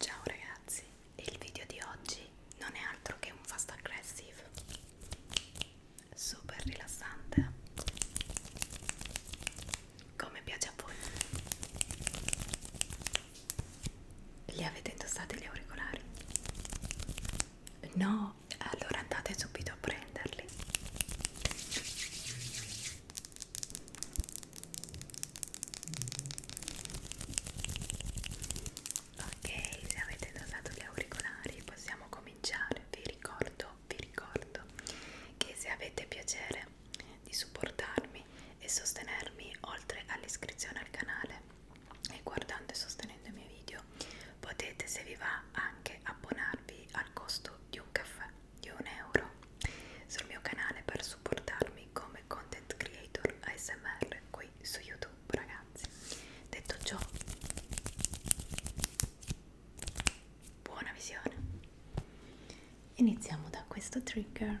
Ciao ragazzi, il video di oggi non è altro che un fast aggressive super rilassante come piace a voi li avete indossati gli auricolari? No, allora andate subito a prenderli. Ok, se avete indossato gli auricolari possiamo cominciare. Vi ricordo, vi ricordo che se avete piacere di supportarmi iscrivervi e sostenermi oltre all'iscrizione al canale e guardando e sostenendo i miei video potete se vi va anche abbonarvi al costo di un caffè di un euro sul mio canale per supportarmi come content creator ASMR qui su YouTube ragazzi detto ciò buona visione iniziamo da questo trigger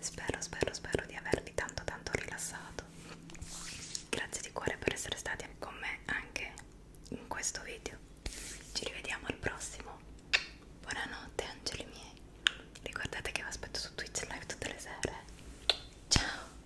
Spero, spero, spero di avervi tanto tanto rilassato. Grazie di cuore per essere stati con me anche in questo video. Ci rivediamo al prossimo. Buonanotte angeli miei. Ricordate che vi aspetto su Twitch live tutte le sere. Ciao!